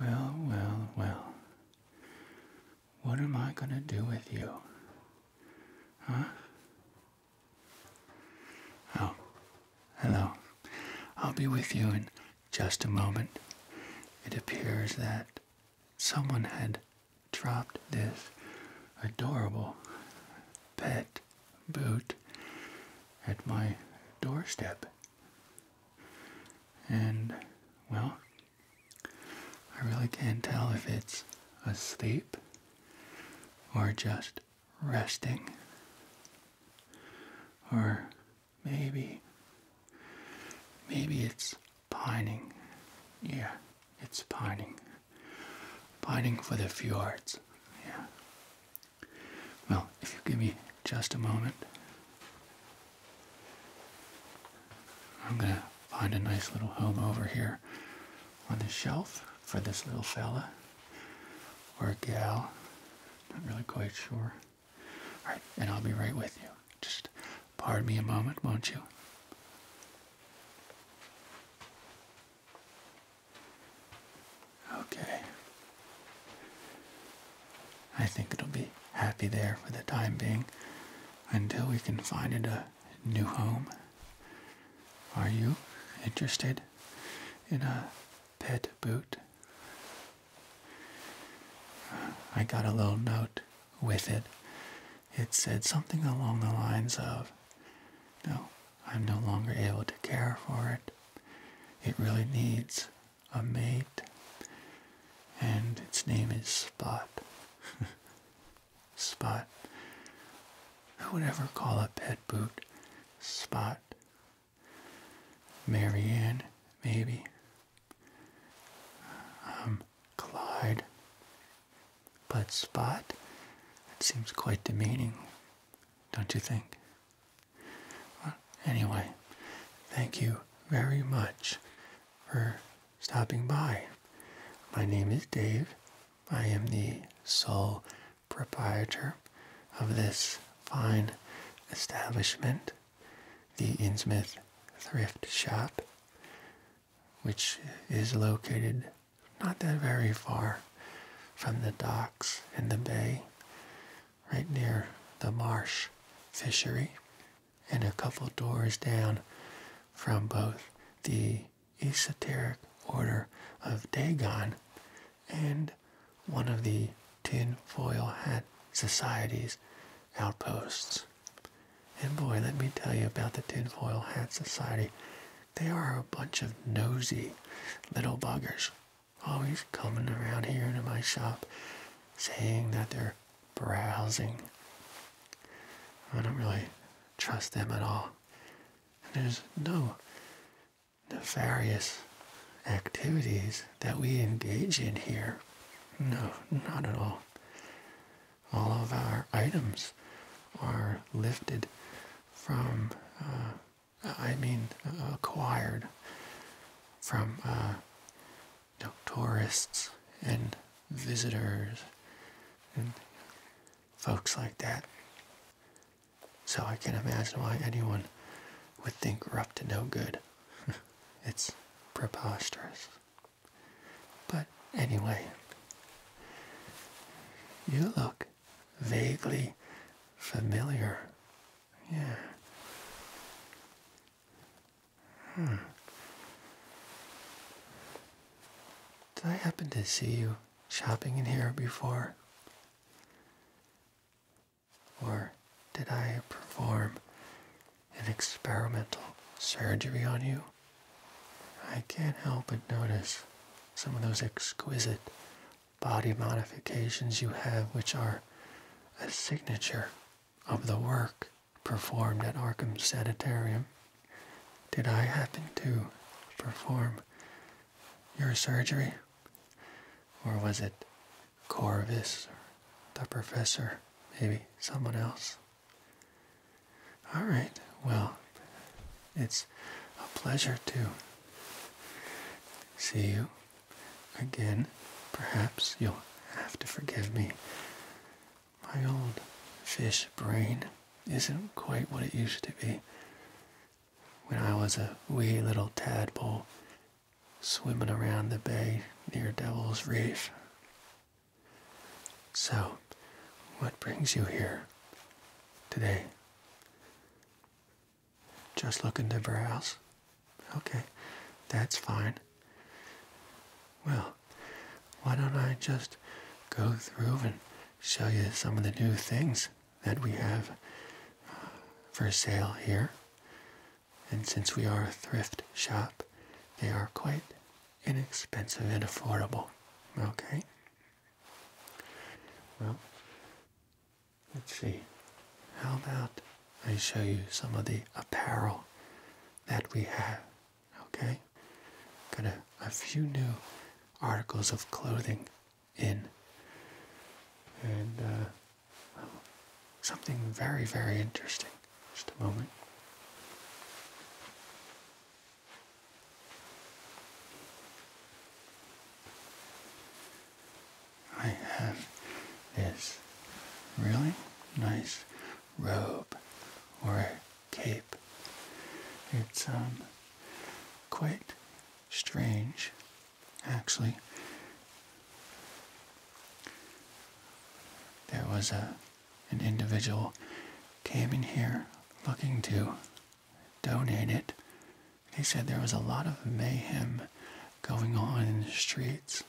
Well, well, well. What am I going to do with you? Huh? Oh, hello. I'll be with you in just a moment. It appears that someone had dropped this adorable pet boot at my doorstep. And, well, I really can't tell if it's asleep or just resting or maybe maybe it's pining yeah it's pining pining for the fjords yeah well if you give me just a moment I'm going to find a nice little home over here on the shelf for this little fella or gal. Not really quite sure. All right, and I'll be right with you. Just pardon me a moment, won't you? Okay. I think it'll be happy there for the time being until we can find it a new home. Are you interested in a pet boot? I got a little note with it. It said something along the lines of, No, I'm no longer able to care for it. It really needs a mate, and its name is Spot. Spot. Who would ever call a pet boot Spot? Marianne, maybe. Um, Clyde. But Spot? It seems quite demeaning, don't you think? Anyway, thank you very much for stopping by. My name is Dave. I am the sole proprietor of this fine establishment, the Insmith Thrift Shop, which is located not that very far from the docks and the bay right near the marsh fishery, and a couple doors down from both the esoteric order of Dagon and one of the tinfoil hat society's outposts. And boy, let me tell you about the Tinfoil Hat Society. They are a bunch of nosy little buggers always oh, coming around here to my shop saying that they're browsing. I don't really trust them at all. there's no nefarious activities that we engage in here. No, not at all. All of our items are lifted from, uh, I mean, acquired from uh, you tourists and visitors and folks like that. So I can imagine why anyone would think we're up to no good. it's preposterous. But anyway, you look vaguely familiar. Yeah. Did I happen to see you shopping in here before? Or did I perform an experimental surgery on you? I can't help but notice some of those exquisite body modifications you have, which are a signature of the work performed at Arkham Sanitarium did I happen to perform your surgery? Or was it Corvus, the professor, maybe someone else? All right, well, it's a pleasure to see you Again, perhaps you'll have to forgive me. My old fish brain isn't quite what it used to be. When I was a wee little tadpole swimming around the bay near Devil's Reef. So, what brings you here today? Just looking to browse. Okay, that's fine. Well, why don't I just go through and show you some of the new things that we have uh, for sale here. And since we are a thrift shop, they are quite inexpensive and affordable. Okay? Well, Let's see. How about I show you some of the apparel that we have? Okay? Got a, a few new articles of clothing in. And uh, something very, very interesting. Just a moment. I have this really nice robe or cape. It's um, quite strange, actually. There was a an individual came in here looking to donate it. He said there was a lot of mayhem going on in the streets.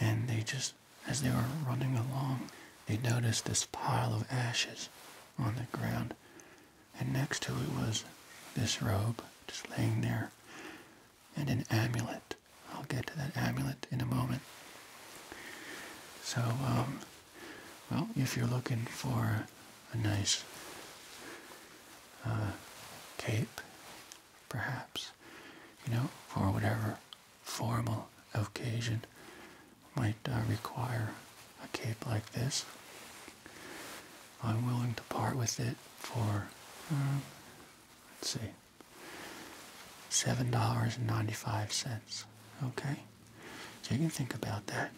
And they just, as they were running along, they noticed this pile of ashes on the ground. And next to it was this robe just laying there and an amulet. I'll get to that amulet in a moment. So, um, well, if you're looking for a nice uh, cape perhaps, you know, for whatever formal occasion might uh, require a cape like this. I'm willing to part with it for, uh, let's see, $7.95, okay? So you can think about that.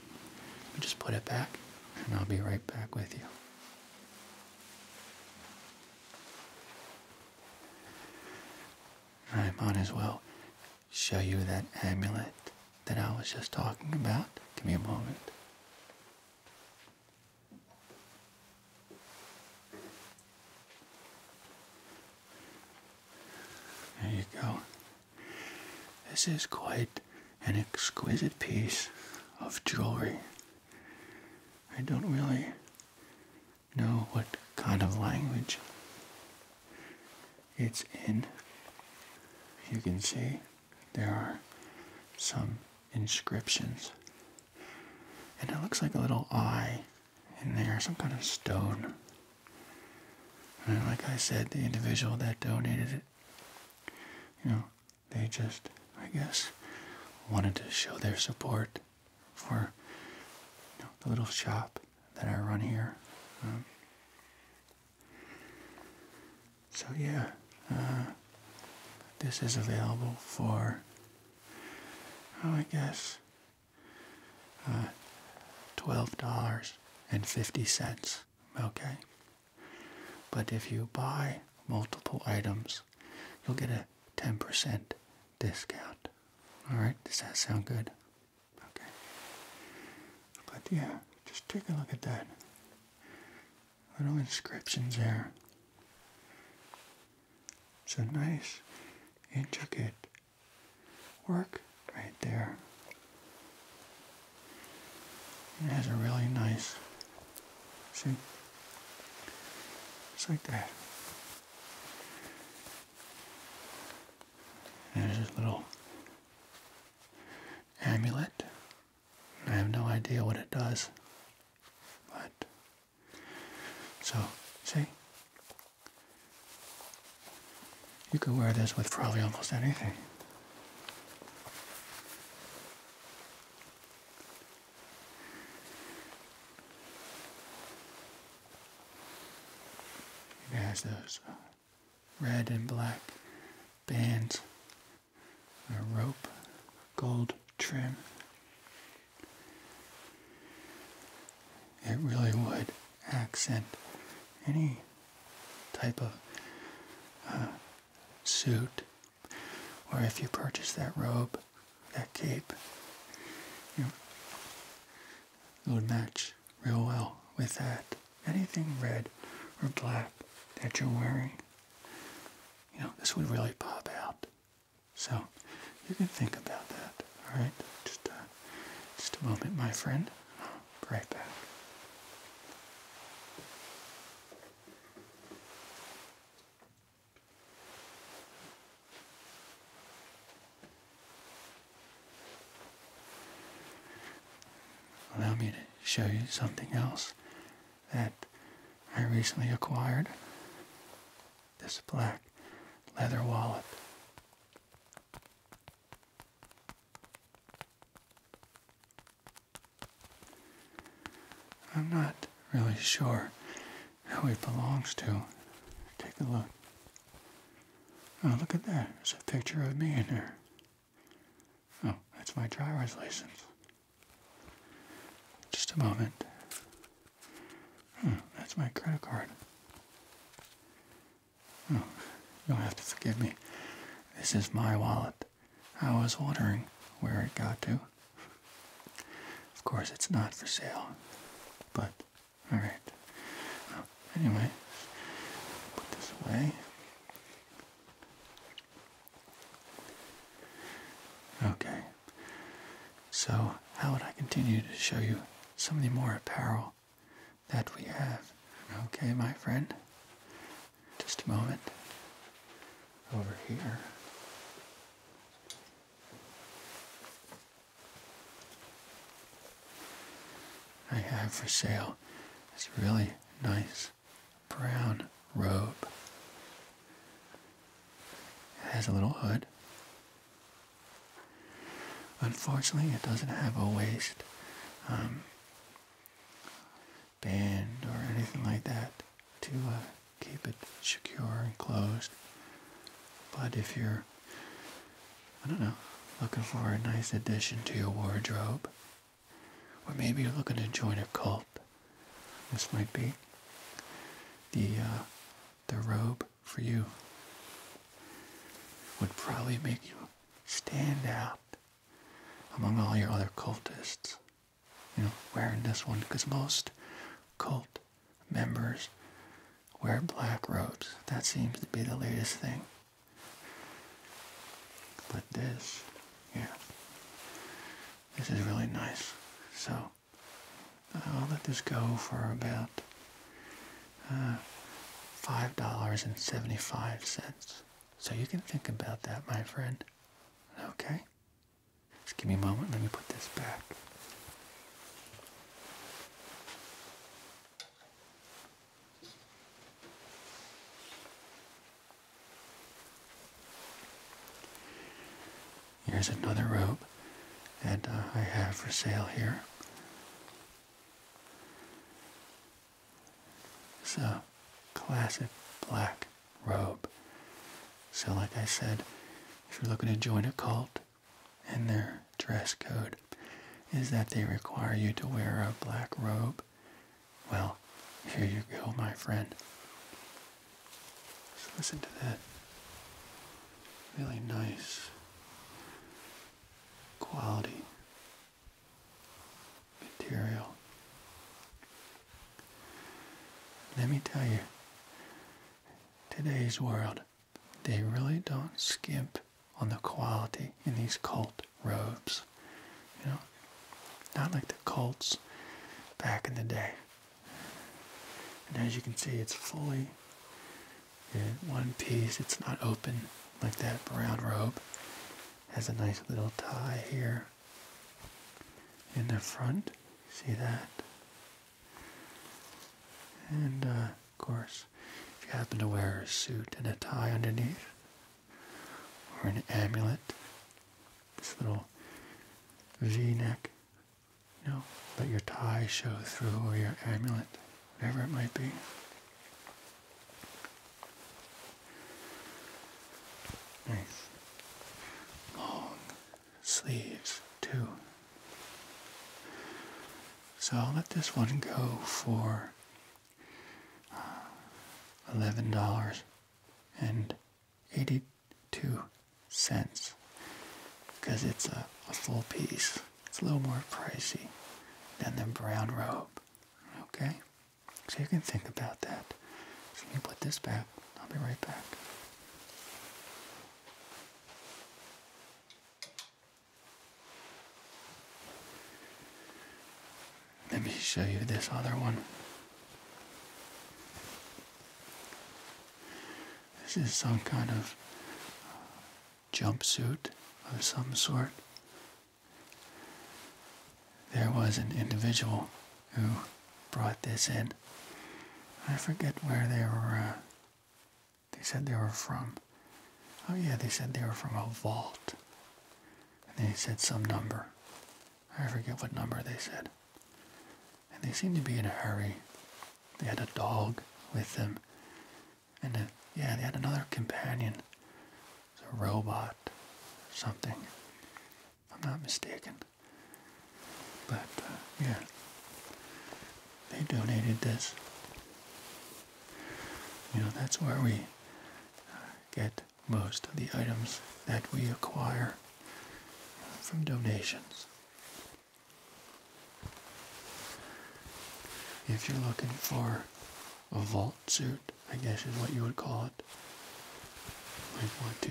Just put it back, and I'll be right back with you. I might as well show you that amulet that I was just talking about. Give me a moment. There you go. This is quite an exquisite piece of jewelry. I don't really know what kind of language it's in. You can see there are some inscriptions. And it looks like a little eye in there, some kind of stone. And like I said, the individual that donated it, you know, they just, I guess, wanted to show their support for the little shop that I run here. Um, so yeah, uh, this is available for, oh, I guess, uh, twelve dollars and fifty cents. Okay, but if you buy multiple items, you'll get a 10% discount. Alright, does that sound good? Okay. But yeah, just take a look at that. Little inscriptions there. It's a nice, intricate work right there. It has a really nice See? It's like that. There's a little amulet. I have no idea what it does. But, so, see? You could wear this with probably almost anything. It has those red and black bands, a rope, gold trim. It really would accent any type of uh, suit or if you purchase that robe, that cape, it would match real well with that. Anything red or black that you're wearing, you know, this would really pop out. So you can think about that, all right? Just, uh, just a moment, my friend. right back. Allow me to show you something else that I recently acquired. This black leather wallet. I'm not really sure who it belongs to. Take a look. Oh, look at that. There's a picture of me in there. Oh, that's my driver's license. Just a moment. Hmm, that's my credit card. Oh, you'll have to forgive me. This is my wallet. I was wondering where it got to. Of course, it's not for sale, but alright. anyway, put this away. Okay, so how would I continue to show you some of the more apparel that we have? Okay, my friend, just a moment. Over here. I have for sale this really nice brown robe. It has a little hood. Unfortunately, it doesn't have a waist. Um, band or anything like that to uh, keep it secure and closed. But if you're, I don't know, looking for a nice addition to your wardrobe, or maybe you're looking to join a cult, this might be the uh, the robe for you. Would probably make you stand out among all your other cultists you know, wearing this one because most cult members wear black robes. That seems to be the latest thing. But this, yeah, this is really nice. So I'll let this go for about uh, $5.75. So you can think about that, my friend. Okay? Just give me a moment. Let me put this back. Here's another rope that uh, I have for sale here. It's a classic black robe. So, like I said, if you're looking to join a cult, and their dress code is that they require you to wear a black robe, well, here you go, my friend. So listen to that really nice quality material. Let me tell you, today's world, they really don't skimp on the quality in these cult robes. You know, not like the cults back in the day. And as you can see, it's fully in one piece. It's not open like that brown robe. Has a nice little tie here in the front. See that? And uh, of course, if you happen to wear a suit and a tie underneath, or an amulet, this little V-neck, you let your tie show through or your amulet, whatever it might be. Nice. Long sleeves too. So I'll let this one go for uh, eleven dollars and eighty-two cents because it's a, a full piece. It's a little more pricey than the brown robe. Okay, so you can think about that. So you can put this back. I'll be right back. Let me show you this other one. This is some kind of jumpsuit of some sort there was an individual who brought this in. I forget where they were. Uh, they said they were from. Oh yeah, they said they were from a vault. And they said some number. I forget what number they said. And they seemed to be in a hurry. They had a dog with them. And uh, yeah, they had another companion. It was a robot, something if I'm not mistaken. But uh, yeah, they donated this. You know, that's where we uh, get most of the items that we acquire from donations. If you're looking for a vault suit, I guess is what you would call it, might want to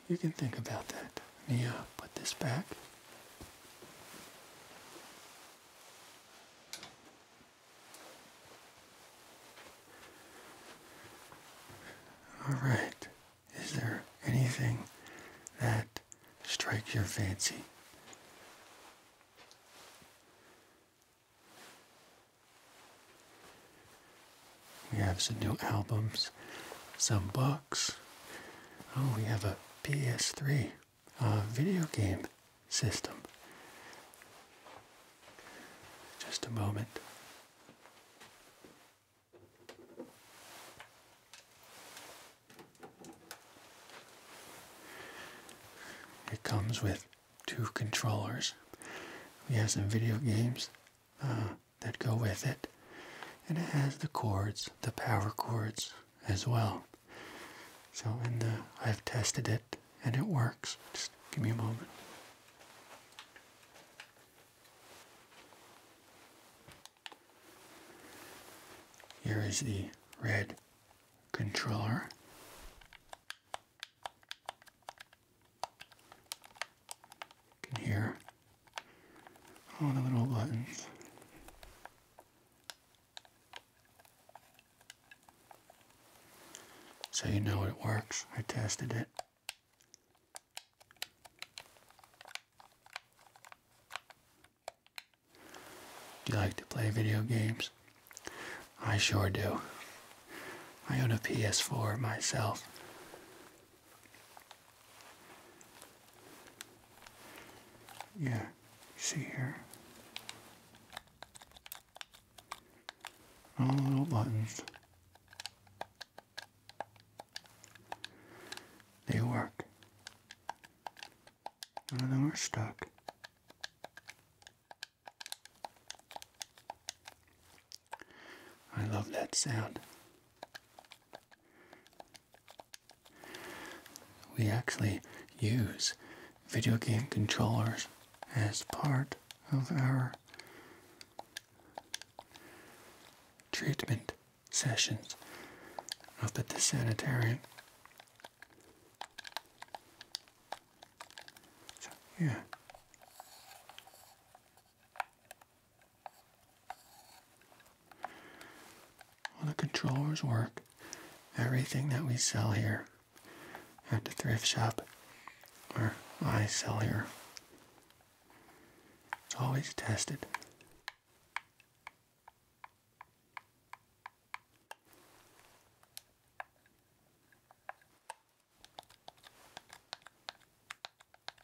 you can think about that. Let me put this back. All right. Is there anything that strikes your fancy? We have some new albums, some books. Oh, we have a PS3 uh, video game system. Just a moment. It comes with two controllers. We have some video games. Uh, that go with it. And it has the cords, the power cords as well. So in the, uh, I've tested it and it works. Just give me a moment. Here is the red controller. You can hear oh, all the little buttons. So you know it works. I tested it. Do you like to play video games? I sure do. I own a PS4 myself. Yeah, see here. All the little buttons. They work. None of them are stuck. I love that sound. We actually use video game controllers as part of our treatment sessions up at the sanitarium. yeah. All the controllers work. Everything that we sell here at the thrift shop or I sell here. It's always tested.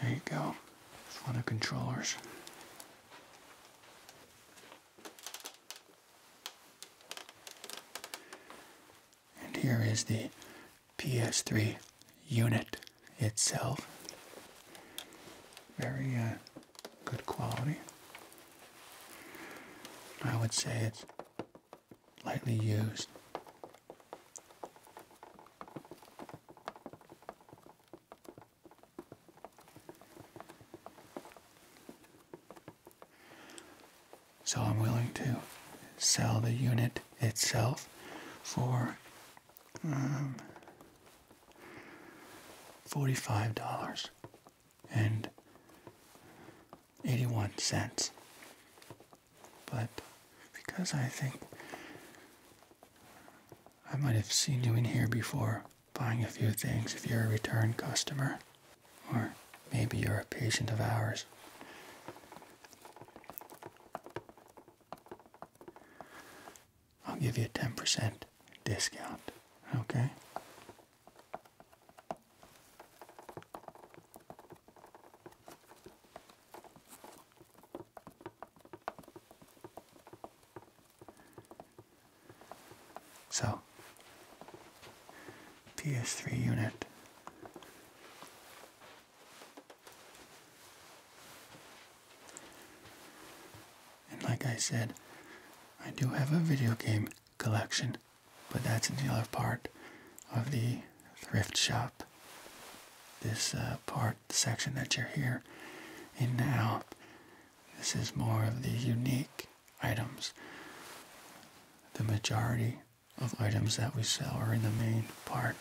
there you go. It's one of the controllers. And here is the PS3 unit itself. Very uh, good quality. I would say it's lightly used. So I'm willing to sell the unit itself for um, $45 and 81 cents. But because I think I might have seen you in here before buying a few things if you're a return customer, or maybe you're a patient of ours. I'll give you a 10% discount, okay? So, PS3 unit. And like I said, I do have a video game collection, but that's another part of the thrift shop. This uh, part part section that you're here in now. This is more of the unique items. The majority of items that we sell are in the main part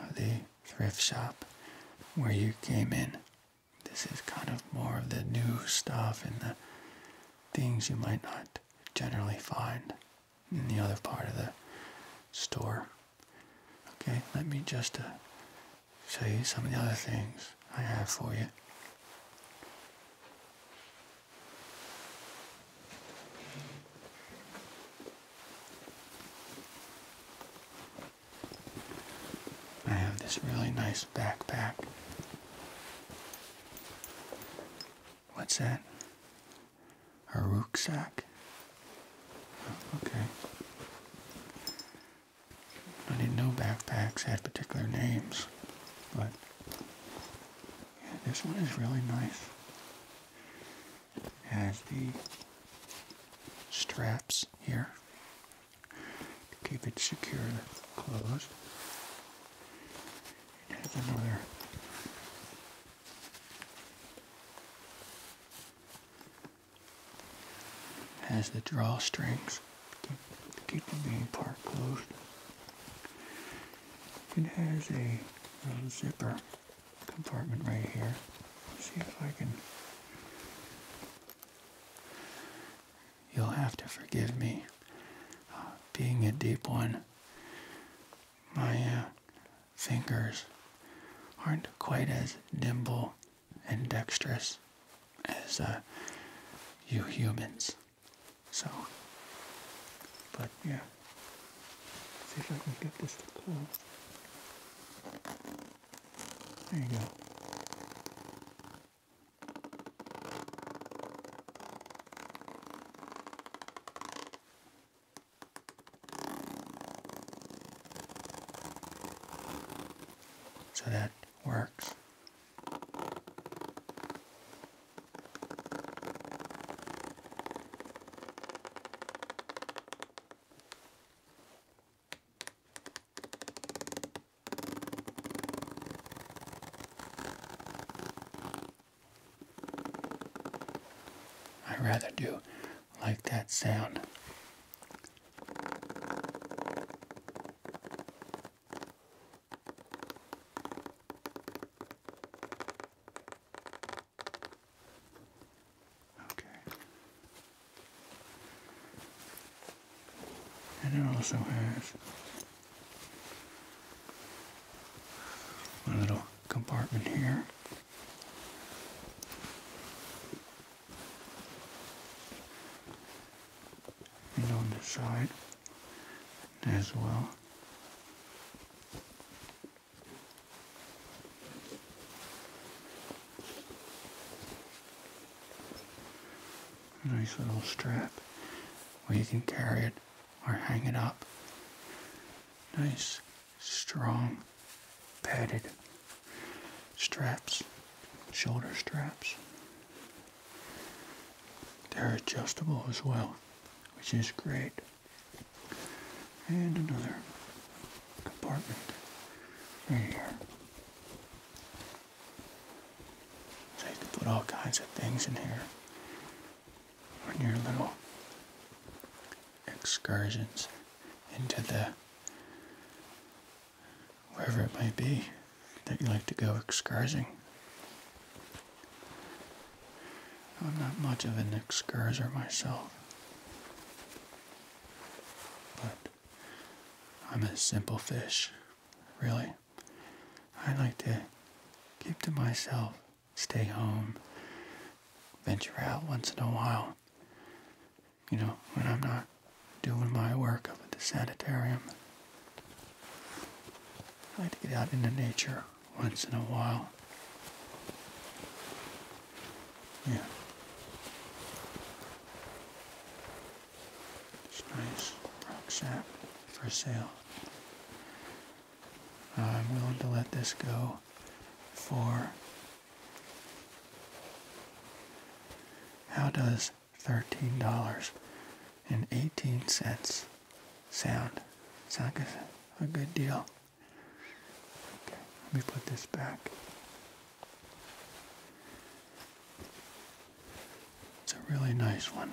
of the thrift shop where you came in. This is kind of more of the new stuff and the things you might not generally find in the other part of the store. Okay, let me just uh, show you some of the other things I have for you. I have this really nice backpack. What's that? A rucksack? Okay. I didn't know backpacks had particular names, but this one is really nice. It has the straps here to keep it secure closed. It another has the drawstrings to keep the main part closed. It has a um, zipper compartment right here. see if I can. You'll have to forgive me uh, being a deep one. My uh, fingers aren't quite as nimble and dexterous as uh, you humans. So, but yeah. see if I can get this to close. There you go. So that works. I rather do like that sound Okay. And it also has a little compartment here and on the side as well. Nice little strap where you can carry it or hang it up. Nice strong padded straps, shoulder straps. They're adjustable as well, which is great. And another compartment right here. So you can put all kinds of things in here your little excursions into the wherever it might be that you like to go excursing. I'm not much of an excurser myself, but I'm a simple fish, really. I like to keep to myself, stay home, venture out once in a while you know, when I'm not doing my work up at the sanitarium. I like to get out into nature once in a while. Yeah. It's nice. Rock sap for sale. I'm willing to let this go for how does $13.18 sound? Sound like a, good deal? Okay, let me put this back. It's a really nice one.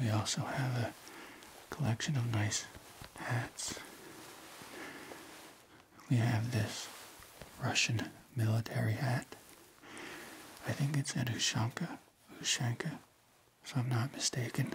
We also have a collection of nice hats. We have this Russian military hat. I think it's at Ushanka, Ushanka, if I'm not mistaken.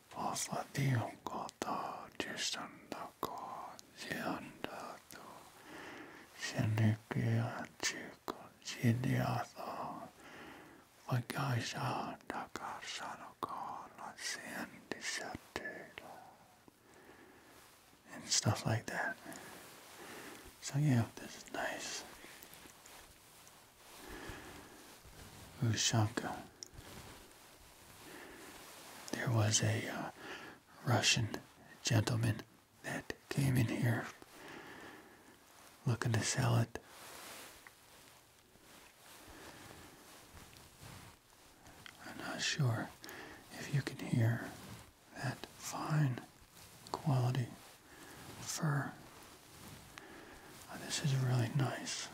朝にお形したんだか死んだと死にきやちく死にやさわきゃいしゃんだかさのかなせんでしゃっている and stuff like that so yeah this is nice Ushanka there was a uh, Russian gentleman that came in here looking to sell it. I'm not sure if you can hear that fine quality fur. this is really nice.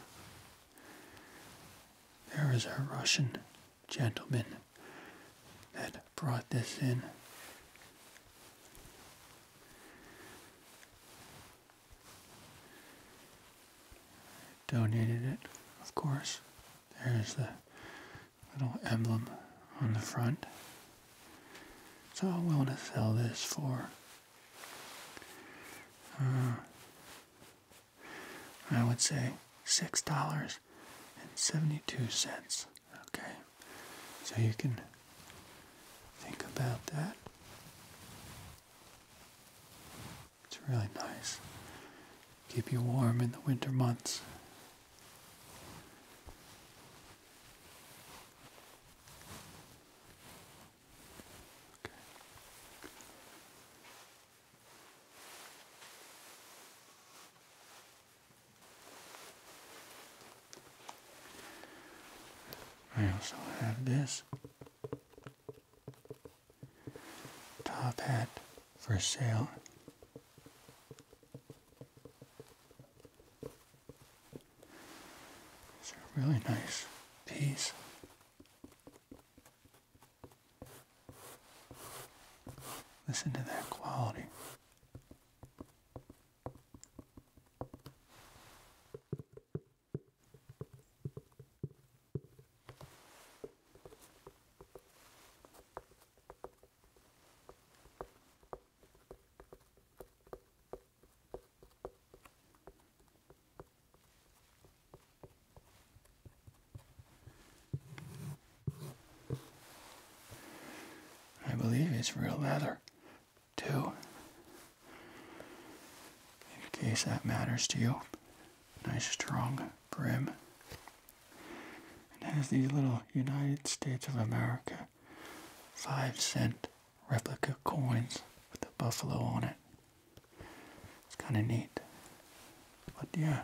There is a Russian gentleman that brought this in. Donated it, of course. There's the little emblem on the front. So I'm willing to sell this for uh, I would say six dollars and seventy-two cents. Okay, so you can think about that. It's really nice. Keep you warm in the winter months. Okay. I also have this top hat for sale. It's a really nice piece. Listen to that quality. I believe it's real leather, too, in case that matters to you. Nice strong brim. It has these little United States of America 5 cent replica coins with the buffalo on it. It's kind of neat. But yeah.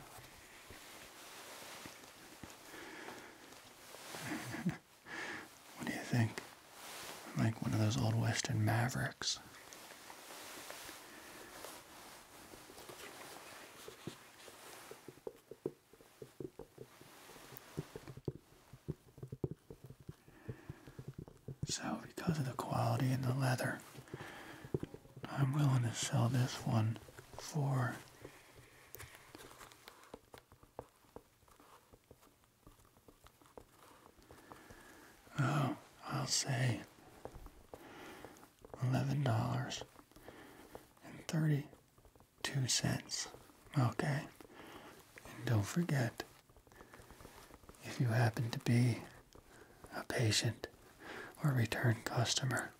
what do you think? like one of those old western mavericks. So because of the quality and the leather, I'm willing to sell this one for oh, I'll say eleven dollars and thirty two cents. Okay. And don't forget, if you happen to be a patient or return customer,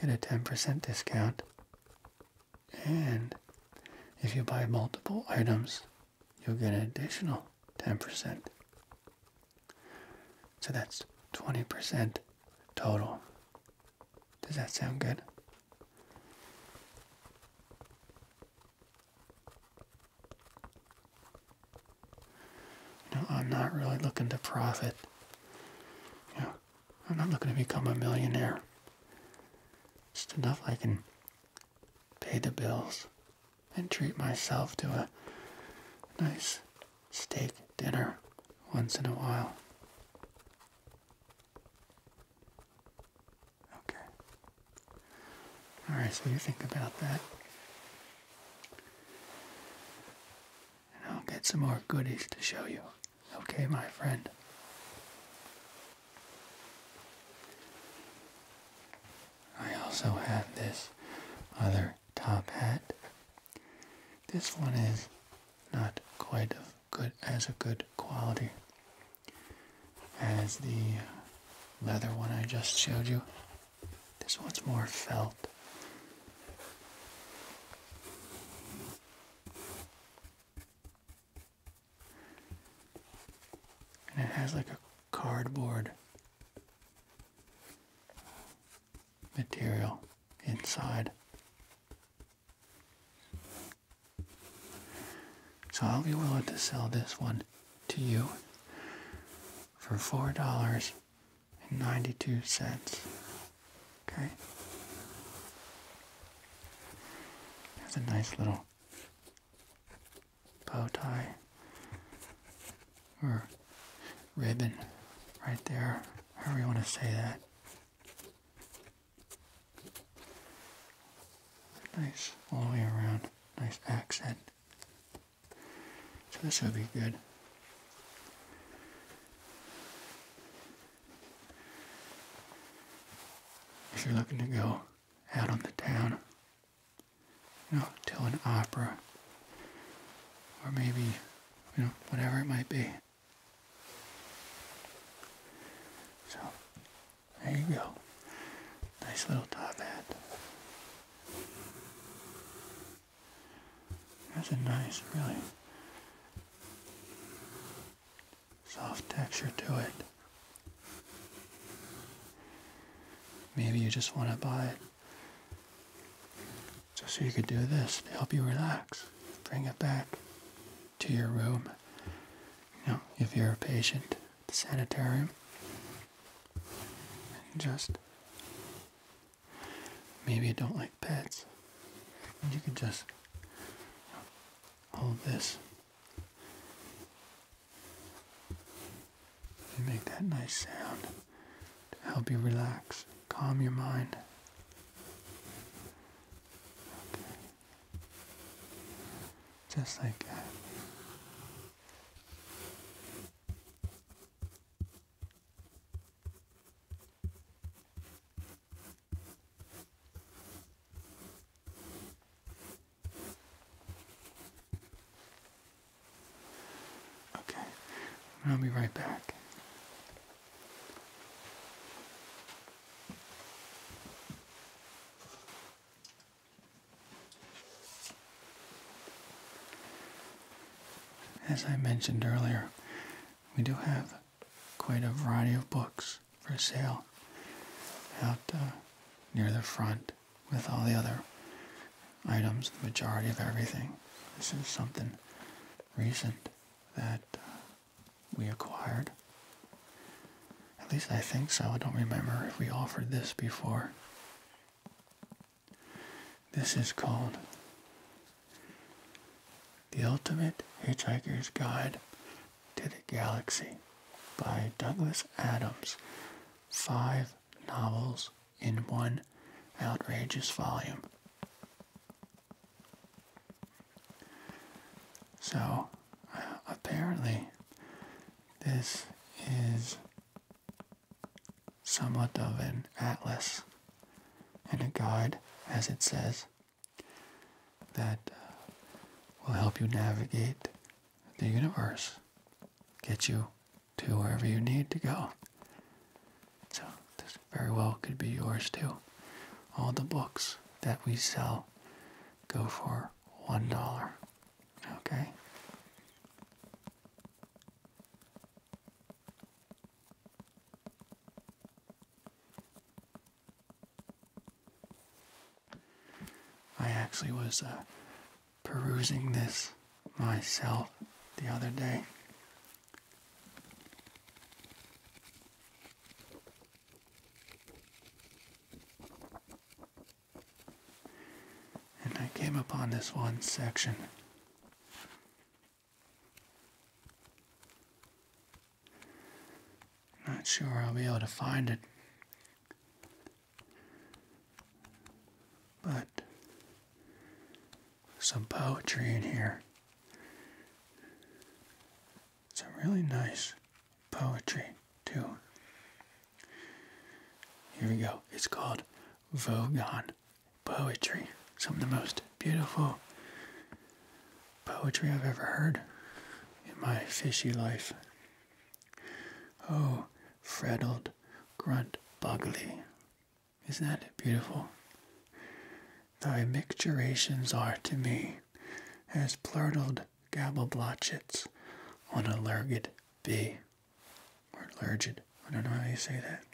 get a 10% discount. And if you buy multiple items, you'll get an additional 10%. So that's 20% total. Does that sound good? You I'm not really looking to profit. You I'm not looking to become a millionaire. Just enough I can pay the bills and treat myself to a nice steak dinner once in a while. Okay. All right, so you think about that. I'll get some more goodies to show you. Okay, my friend. I also have this other top hat. This one is not quite of good as a good quality as the leather one I just showed you. This one's more felt. And it has like a cardboard material inside. So I'll be willing to sell this one to you for $4.92. Okay? There's a nice little bow tie or ribbon right there, How do you want to say that. Nice all the way around, nice accent. So this would be good. If you're looking to go out on the town, you know, to an opera, or maybe, you know, whatever it might be. So, there you go. Nice little top hat. That's a nice, really soft texture to it. Maybe you just want to buy it just so you could do this to help you relax. Bring it back to your room. You know, if you're a patient the sanitarium and just maybe you don't like pets you can just hold this and make that nice sound to help you relax calm your mind just like that Okay, I'll be right back. As I mentioned earlier, we do have quite a variety of books for sale out uh, near the front with all the other items, the majority of everything. This is something recent that uh, we acquired. At least I think so. I don't remember if we offered this before. This is called The Ultimate Hitchhiker's Guide to the Galaxy by Douglas Adams. Five novels in one outrageous volume. So, uh, apparently, this is somewhat of an atlas and a guide, as it says, that uh, will help you navigate the universe, get you to wherever you need to go. So this very well could be yours too. All the books that we sell go for one dollar. Okay? I actually was uh, perusing this myself the other day. And I came upon this one section. Not sure I'll be able to find it. But some poetry in here. Some really nice poetry, too. Here we go. It's called Vogon Poetry. Some of the most beautiful poetry I've ever heard in my fishy life. Oh, frettled grunt bugley. Isn't that beautiful? Thy micturations are to me as plurtled gabble blotchets on a lurgid bee or I don't know how you say that,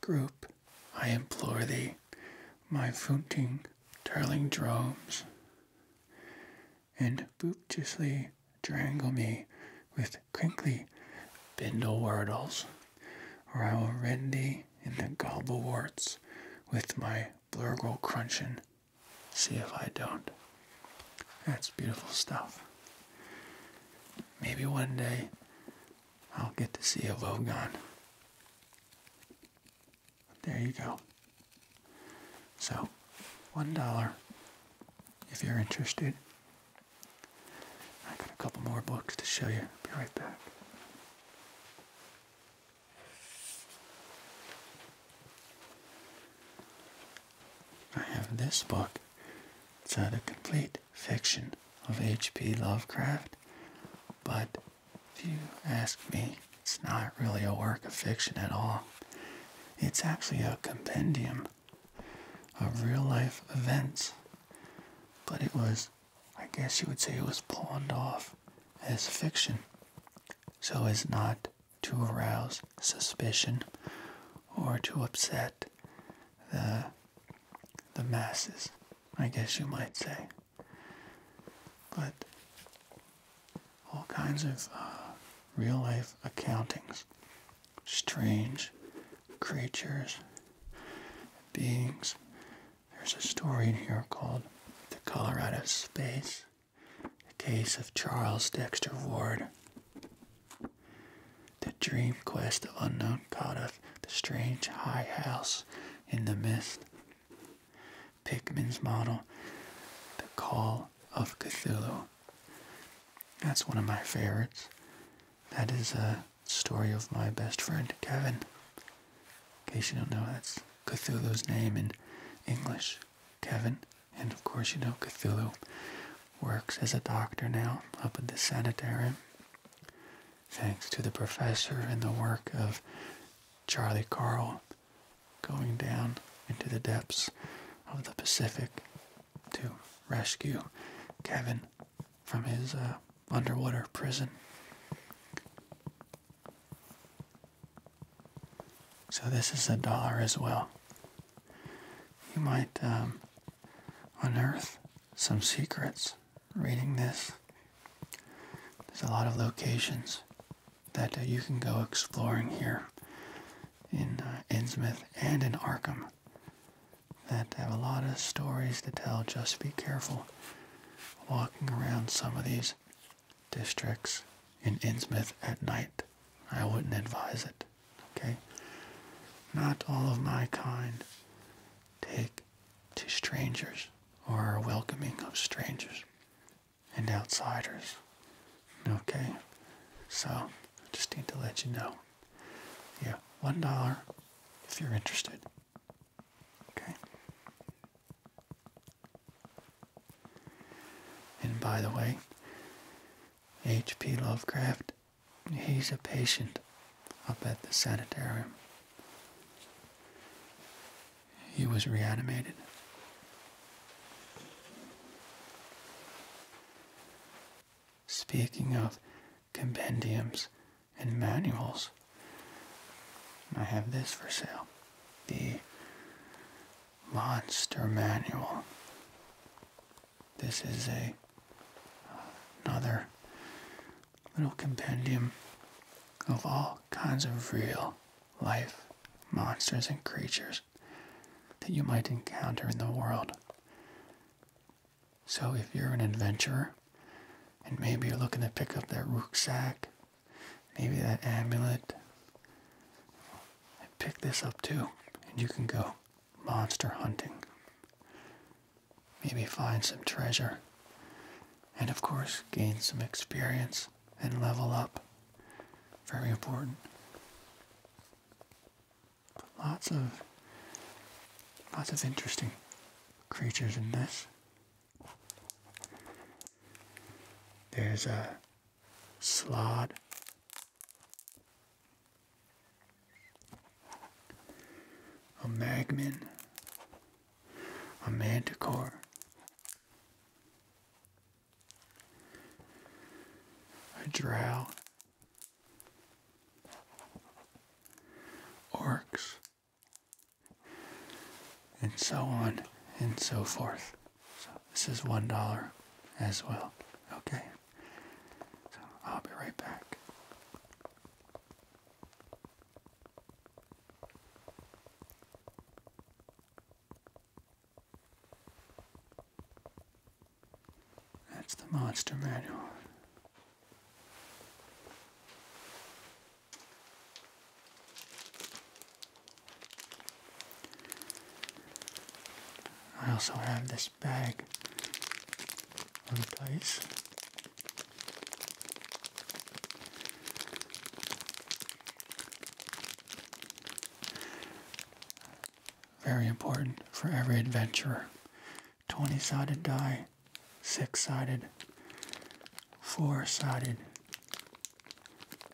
group, I implore thee, my founting, darling dromes, and booptiously drangle me with crinkly bindle wordles, or I will rend thee in the gobble warts with my blurgle crunching. See if I don't. That's beautiful stuff. Maybe one day I'll get to see a Logon. There you go. So, $1 if you're interested. I got a couple more books to show you. Be right back. I have this book. It's a complete fiction of H.P. Lovecraft, but if you ask me, it's not really a work of fiction at all. It's actually a compendium of real life events, but it was, I guess you would say, it was pawned off as fiction so it's not to arouse suspicion or to upset the the masses, I guess you might say. But all kinds of uh, real life accountings, strange creatures, beings. There's a story in here called The Colorado Space, the case of Charles Dexter Ward. The dream quest of unknown Cardiff, the strange high house in the mist, Pickman's model, the call of Cthulhu. That's one of my favorites. That is a story of my best friend Kevin. In case you don't know, that's Cthulhu's name in English, Kevin. And of course, you know, Cthulhu works as a doctor now up at the sanitarium, thanks to the professor and the work of Charlie Carl going down into the depths of the Pacific to rescue Kevin from his uh, underwater prison. So this is a dollar as well. You might um, unearth some secrets reading this. There's a lot of locations that uh, you can go exploring here in uh, Innsmith and in Arkham that have a lot of stories to tell. Just be careful walking around some of these districts in Innsmith at night. I wouldn't advise it. Okay? Not all of my kind take to strangers or welcoming of strangers and outsiders. Okay? So, I just need to let you know. Yeah, one dollar if you're interested. Okay? And by the way, H.P. Lovecraft, he's a patient up at the sanitarium. He was reanimated. Speaking of compendiums and manuals, I have this for sale. The Monster Manual this is a another little compendium of all kinds of real life monsters and creatures that you might encounter in the world. So if you're an adventurer and maybe you're looking to pick up that rucksack, maybe that amulet, pick this up too and you can go monster hunting. Maybe find some treasure. And of course, gain some experience and level up. Very important. lots of lots of interesting creatures in this. There's a slod a magman, a manticore, a drow, orcs, and so on and so forth. So this is one dollar as well. Okay. So I'll be right back. That's the monster manual. I also have this bag of dice. Very important for every adventurer. 20 sided die, 6 sided, 4 sided,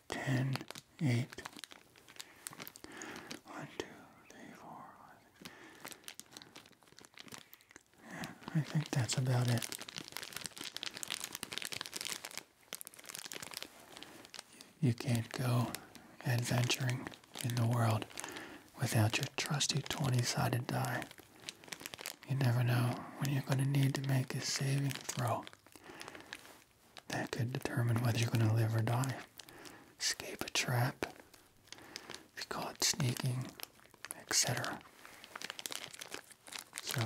10 eight. One, two, I think that's about it. You can't go adventuring in the world without your trusty 20-sided die. You never know when you're going to need to make a saving throw that could determine whether you're going to live or die. Escape a trap, be caught sneaking, etc. So,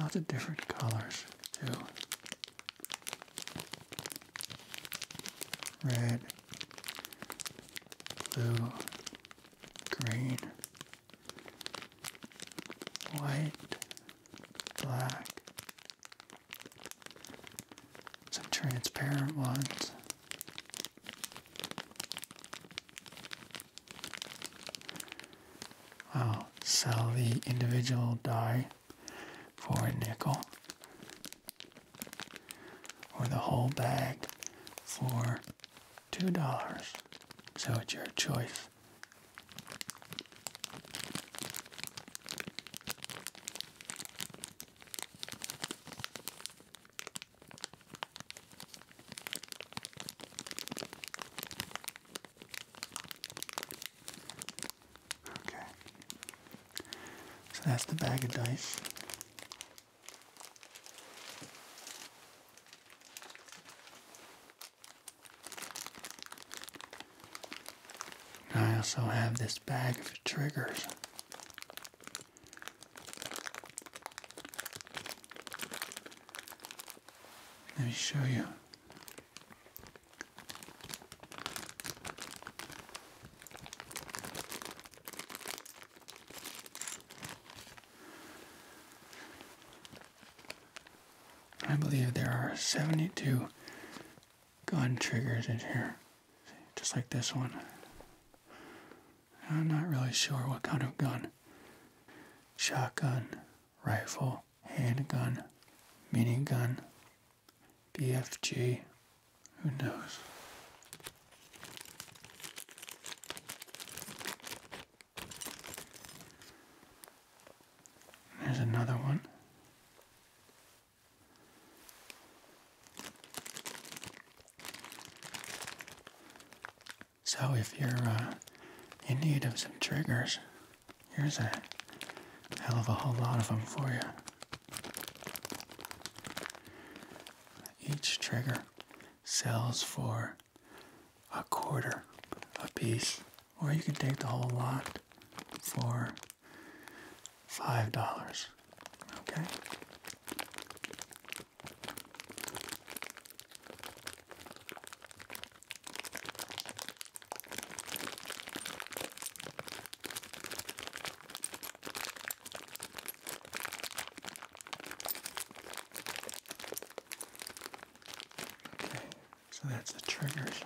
lots of different colors too. Red, blue, green, white, black, some transparent ones. I'll sell the individual die for a nickel or the whole bag for $2. So it's your choice. Okay. So that's the bag of dice. I also have this bag of triggers. Let me show you. I believe there are 72 gun triggers in here, just like this one. I'm not really sure what kind of gun. Shotgun, rifle, handgun, minigun, BFG, who knows? There's another one. So if you're uh, in need of some triggers, here's a hell of a whole lot of them for you. Each trigger sells for a quarter a piece, or you can take the whole lot for five dollars. Okay. Okay, so that's the triggers.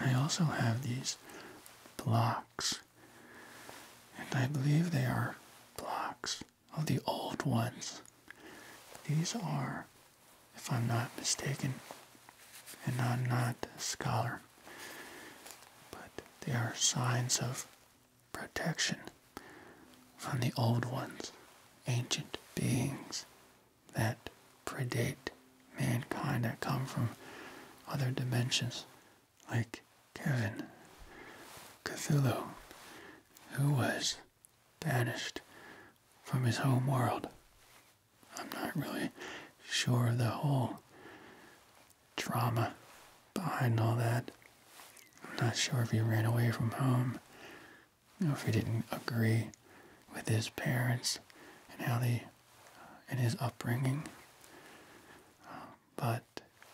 I also have these blocks, and I believe they are blocks of the old ones. These are, if I'm not mistaken, and I'm not a scholar, but they are signs of protection from the old ones, ancient beings that predate mankind that come from other dimensions, like Kevin Cthulhu, who was banished from his home world I'm not really sure of the whole drama behind all that. I'm not sure if he ran away from home, or if he didn't agree with his parents and how they, and his upbringing. but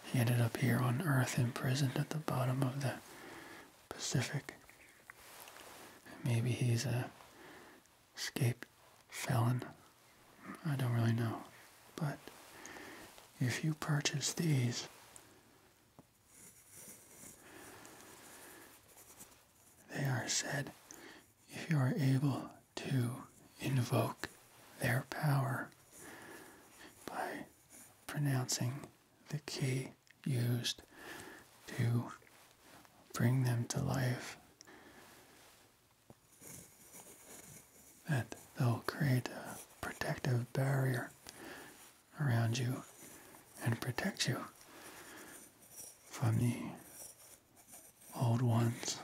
he ended up here on Earth, imprisoned at the bottom of the Pacific. Maybe he's a escape felon. I don't really know. But if you purchase these, they are said if you are able to invoke their power by pronouncing the key used to bring them to life, that they'll create a protective barrier around you and protect you from the old ones.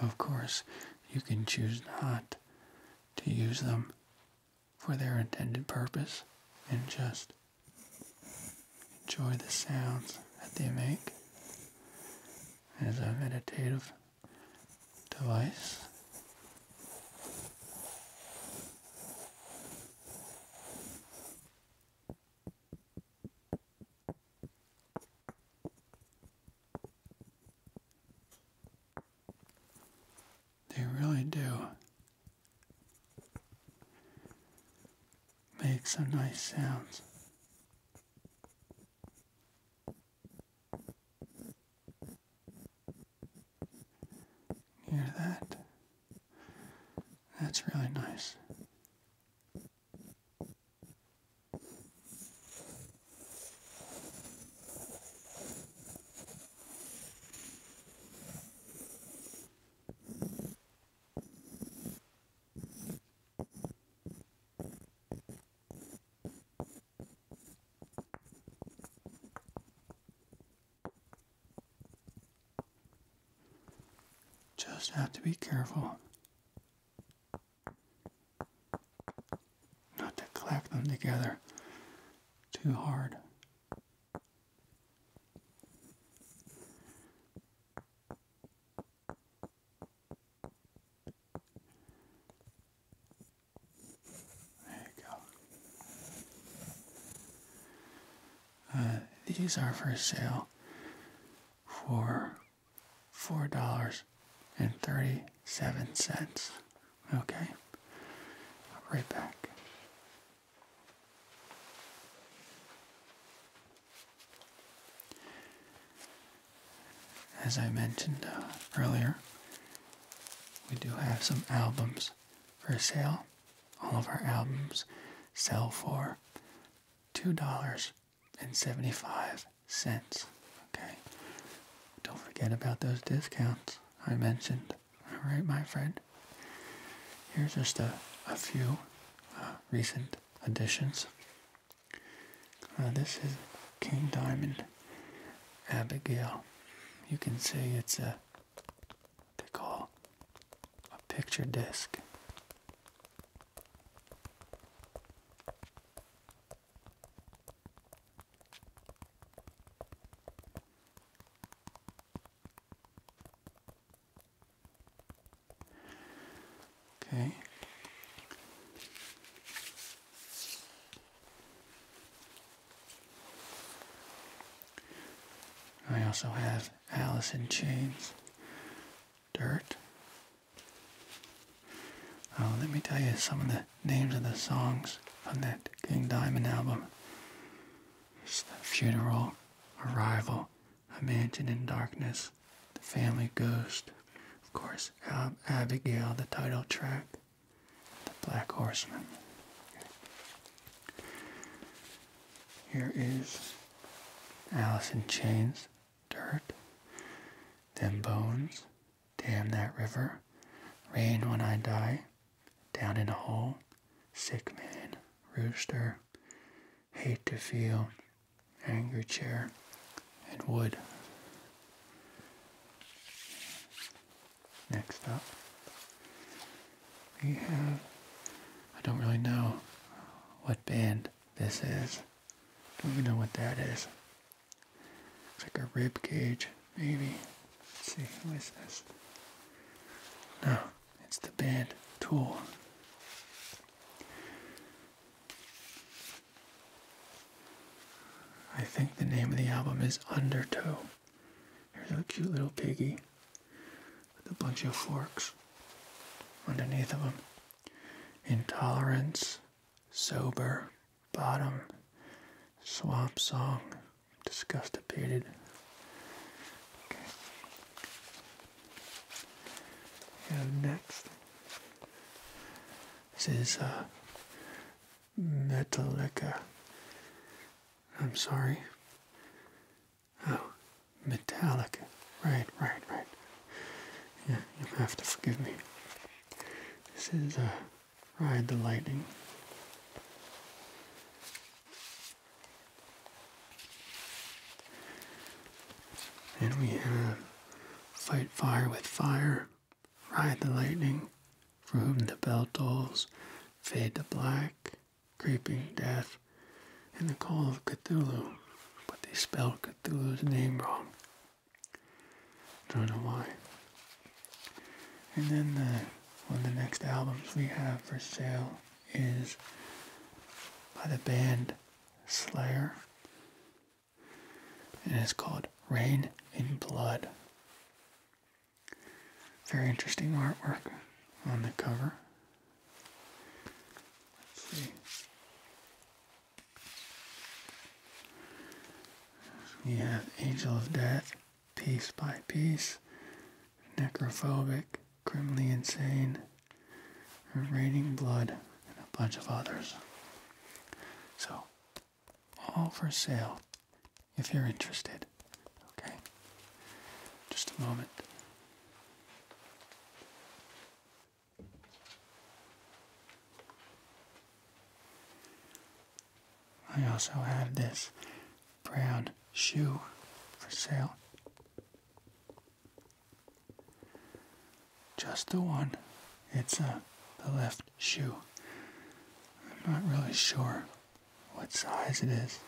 Of course, you can choose not to use them for their intended purpose and just enjoy the sounds that they make as a meditative device. They really do Makes some nice sounds. Hear that? That's really nice. Just have to be careful not to clap them together too hard. There you go. Uh, these are for sale for four dollars and thirty-seven cents. Okay, right back. As I mentioned uh, earlier, we do have some albums for sale. All of our albums sell for $2.75. Okay. Don't forget about those discounts I mentioned. All right, my friend. Here's just a, a few uh, recent additions. Uh, this is King Diamond Abigail. You can see it's a they call a picture disc. Okay. I also have Alice in Chains, Dirt. Oh, let me tell you some of the names of the songs on that King Diamond album. The funeral, arrival, a mansion in darkness, the family ghost, of course, um, Abigail, the title track, the black horseman. Here is Alice in Chains, Dirt, Them Bones, Damn That River, Rain When I Die, down in the hole, sick man, rooster, hate to feel, angry chair, and wood. Next up, we have, I don't really know what band this is. Don't even know what that is. It's like a rib cage maybe. see, who is this? No, it's the band Tool. I think the name of the album is Undertow. Here's a cute little piggy with a bunch of forks underneath of him. Intolerance, Sober, Bottom, Swamp Song, discussed it Okay. next, this is uh, Metallica. I'm sorry. Oh, Metallica. Right, right, right. Yeah, you have to forgive me. This is a. Uh, Ride the lightning. And we have fight fire with fire, ride the lightning, for whom the bell tolls, fade to black, creeping death, and the call of Cthulhu. But they spelled Cthulhu's name wrong. Don't know why. And then the, one of the next albums we have for sale is by the band Slayer. And it's called Rain in Blood. Very interesting artwork on the cover. Let's see. We have Angel of Death piece by piece, necrophobic, criminally insane, raining blood, and a bunch of others. So, all for sale if you're interested. Okay? Just a moment. I also have this brown shoe for sale. Just the one. It's uh, the left shoe. I'm not really sure what size it is.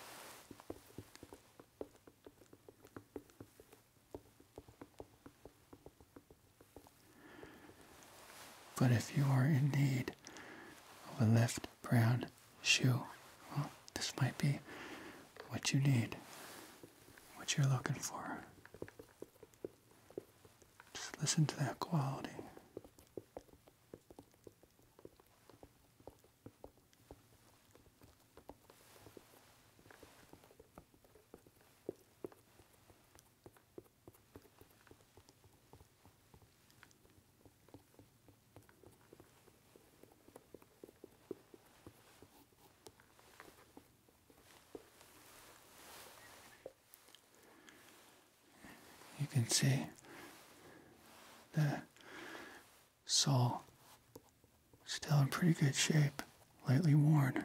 But if you are in need of a left brown shoe. Well, this might be what you need, what you're looking for. Just listen to that quality. You can see the sole still in pretty good shape, lightly worn.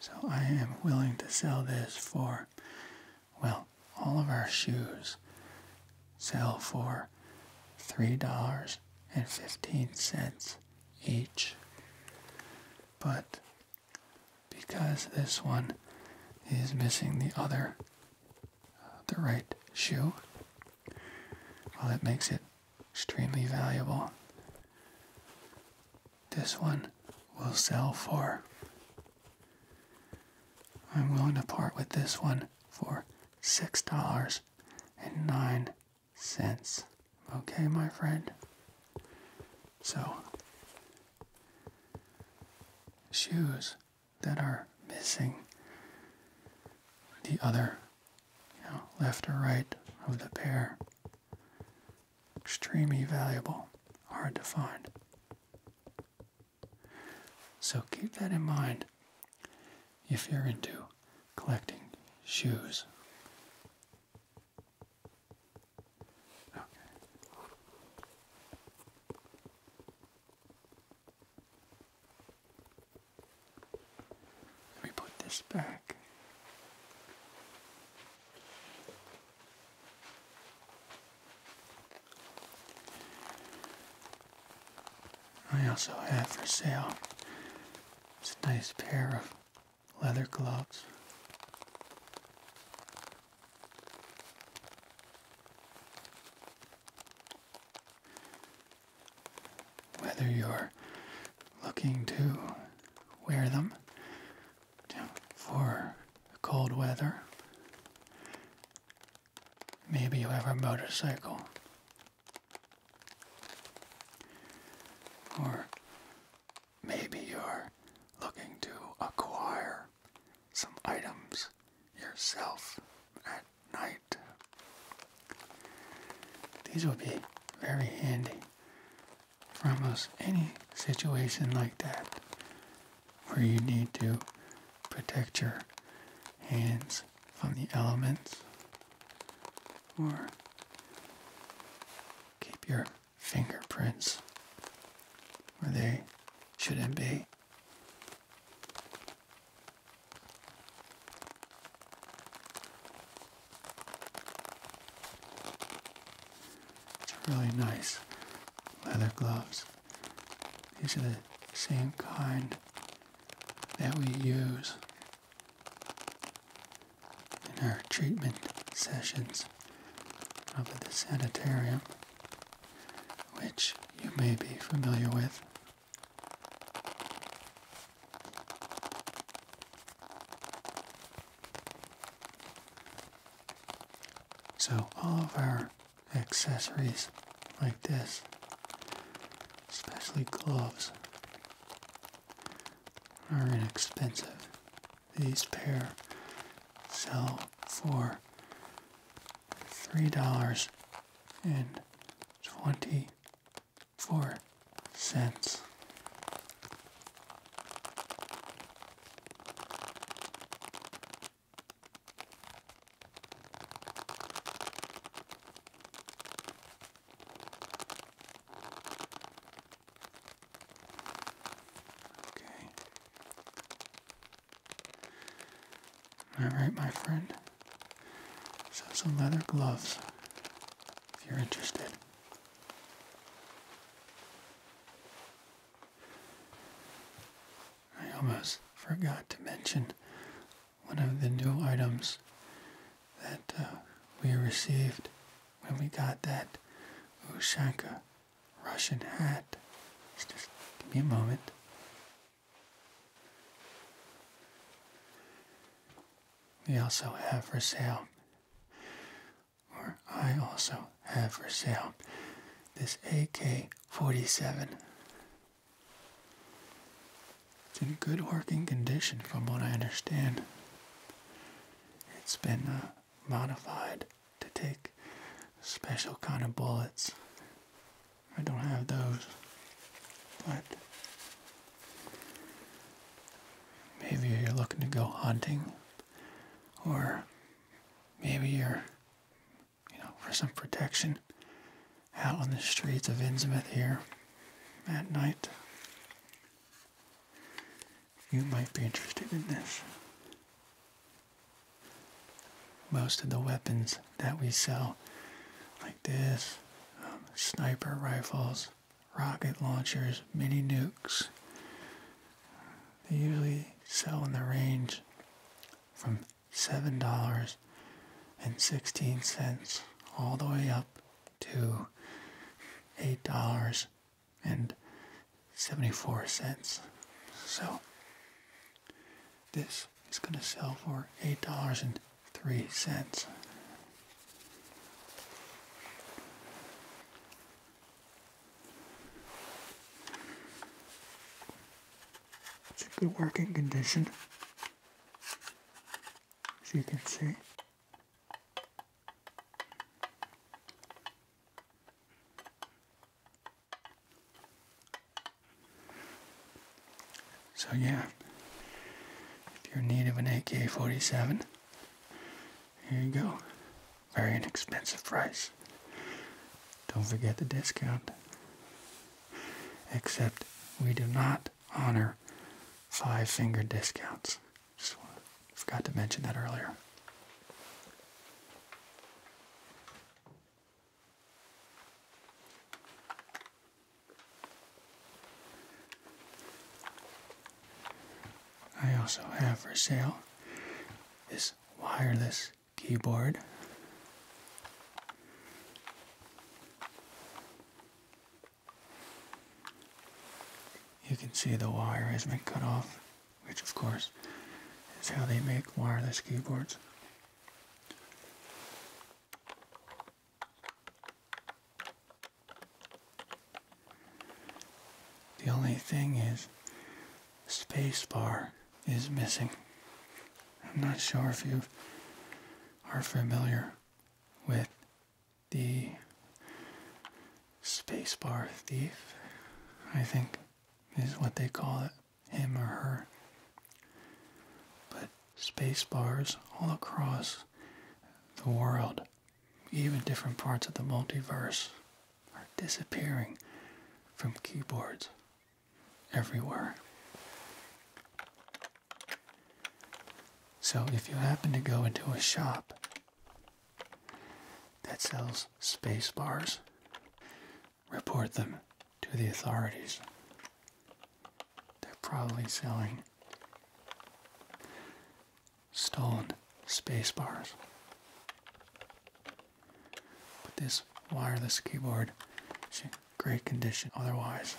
So I am willing to sell this for, well, all of our shoes sell for $3.15 each. But because this one is missing the other, uh, the right shoe, well, that makes it extremely valuable. This one will sell for. I'm willing to part with this one for six dollars and nine cents. Okay, my friend. So, shoes that are missing the other you know, left or right of the pair. Extremely valuable, hard to find. So keep that in mind if you're into collecting shoes. Okay. Let me put this back. I also have for sale this nice pair of leather gloves whether you're looking to wear them for cold weather. Maybe you have a motorcycle or maybe you're looking to acquire some items yourself night. These will be very handy for almost any situation like that where you need to protect your hands from the elements or keep your fingerprints where they shouldn't be. Really nice leather gloves. These are the same kind that we use in our treatment sessions of the sanitarium, which you may be familiar with. So all of our accessories like this, especially gloves, are inexpensive. These pair sell for three dollars and twenty four cents. Okay. All right, my friend. So some leather gloves if you're interested. I almost forgot to mention one of the new items that uh, we received when we got that Ushanka Russian hat. just give me a moment. We also have for sale, or I also have for sale, this AK 47. It's in good working condition from what I understand. It's been uh, modified to take special kind of bullets. I don't have those, but Maybe you're looking to go hunting, or maybe you're, you know, for some protection out on the streets of Innsmouth here at night. You might be interested in this. Most of the weapons that we sell this, um, sniper rifles, rocket launchers, mini nukes. They usually sell in the range from seven dollars and sixteen cents all the way up to eight dollars and seventy four cents. So this is gonna sell for eight dollars and three cents. It's a good working condition, as you can see. So yeah, if you're in need of an AK-47, here you go. Very inexpensive price. Don't forget the discount. Except we do not honor five-finger discounts. forgot to mention that earlier. I also have for sale this wireless keyboard. You can see the wire has been cut off, which of course is how they make wireless keyboards. The only thing is, spacebar is missing. I'm not sure if you are familiar with the spacebar thief, I think is what they call it, him or her. But space bars all across the world, even different parts of the multiverse, are disappearing from keyboards everywhere. So if you happen to go into a shop that sells space bars, report them to the authorities they're probably selling stolen space bars. But this wireless keyboard is in great condition otherwise.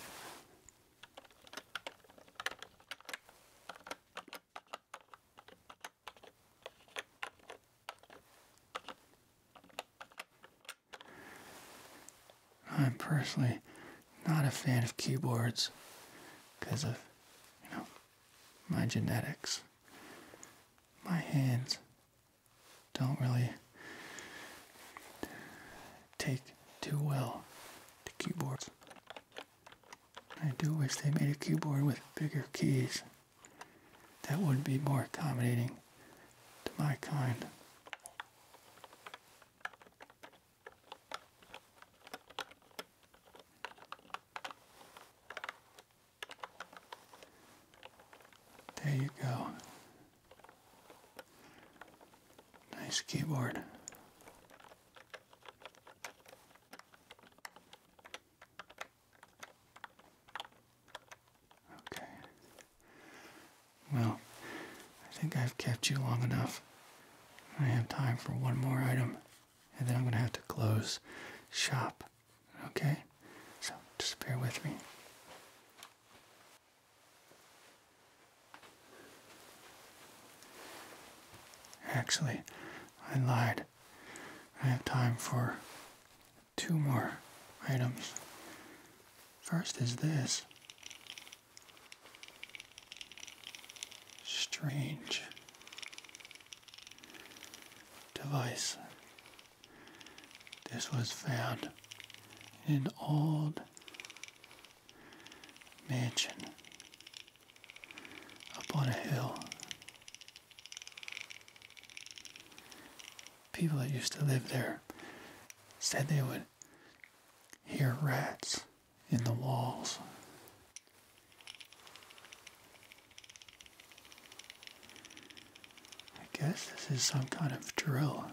I'm personally not a fan of keyboards because of, you know, my genetics. My hands don't really take too well to keyboards. I do wish they made a keyboard with bigger keys. That would be more accommodating to my kind. There you go. Nice keyboard. Okay. Well, I think I've kept you long enough. I have time for one more item, and then I'm going to have to close shop. Okay? So just bear with me. Actually, I lied. I have time for two more items. First is this strange device. This was found in an old mansion up on a hill. People that used to live there said they would hear rats in the walls. I guess this is some kind of drill.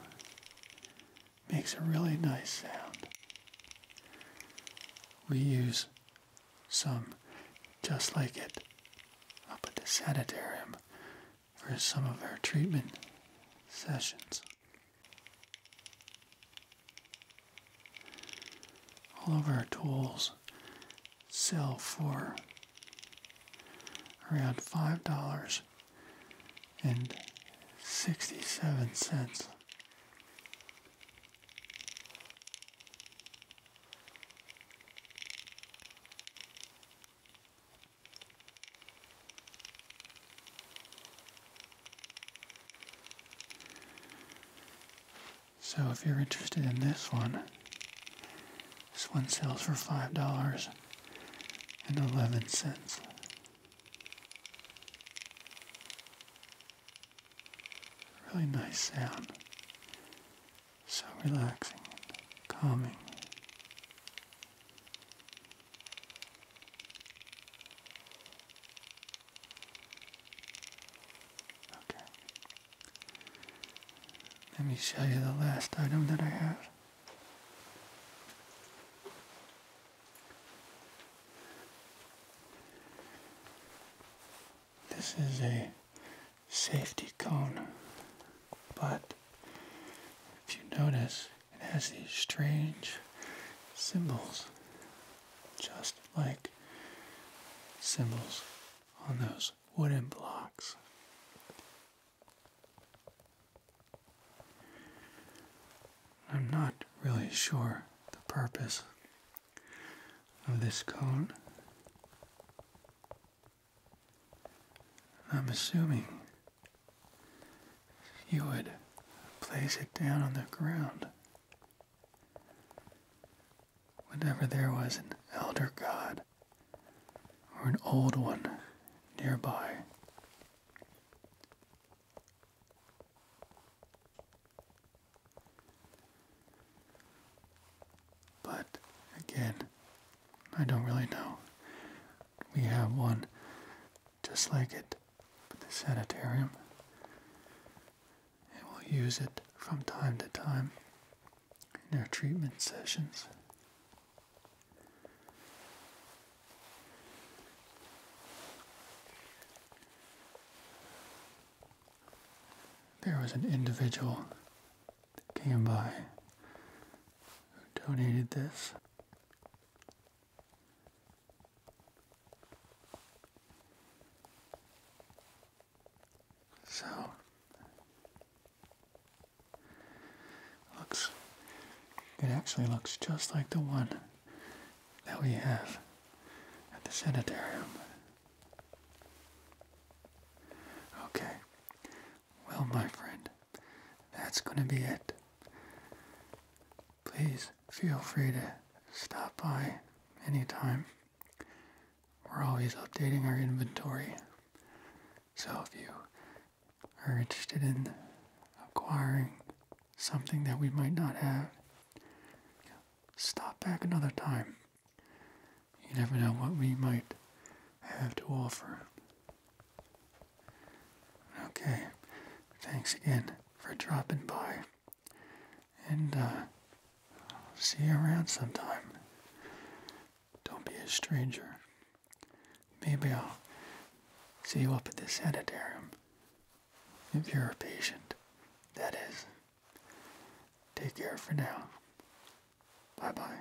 Makes a really nice sound. We use some just like it up at the sanitarium for some of our treatment sessions. All of our tools sell for around five dollars and sixty-seven cents. So if you're interested in this one, this one sells for $5 and 11 cents. Really nice sound. So relaxing, calming. Okay. Let me show you the last item that I have. This is a safety cone, but if you notice, it has these strange symbols, just like symbols on those wooden blocks. I'm not really sure the purpose of this cone. I'm assuming you would place it down on the ground. Whenever there was an elder god or an old one nearby, but again, I don't really know. We have one just like it with the sanitarium. And we'll use it from time to time in our treatment sessions. There was an individual that came by who donated this. So looks it actually looks just like the one that we have at the sanitarium. Okay. Well, my friend, that's going to be it please feel free to stop by anytime. We're always updating our inventory. So if you are interested in acquiring something that we might not have, stop back another time. You never know what we might have to offer. Okay, thanks again for dropping by, and uh, see you around sometime. Don't be a stranger. Maybe I'll see you up at the sanitarium if you're a patient. That is. Take care for now. Bye bye.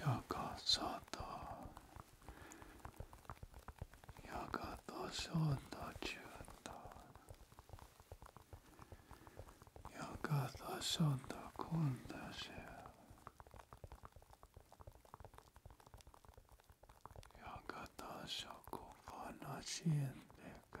やかさたやかたしょうたちゅうたやかたしょうたこんだしやかたしょこかなしえんでか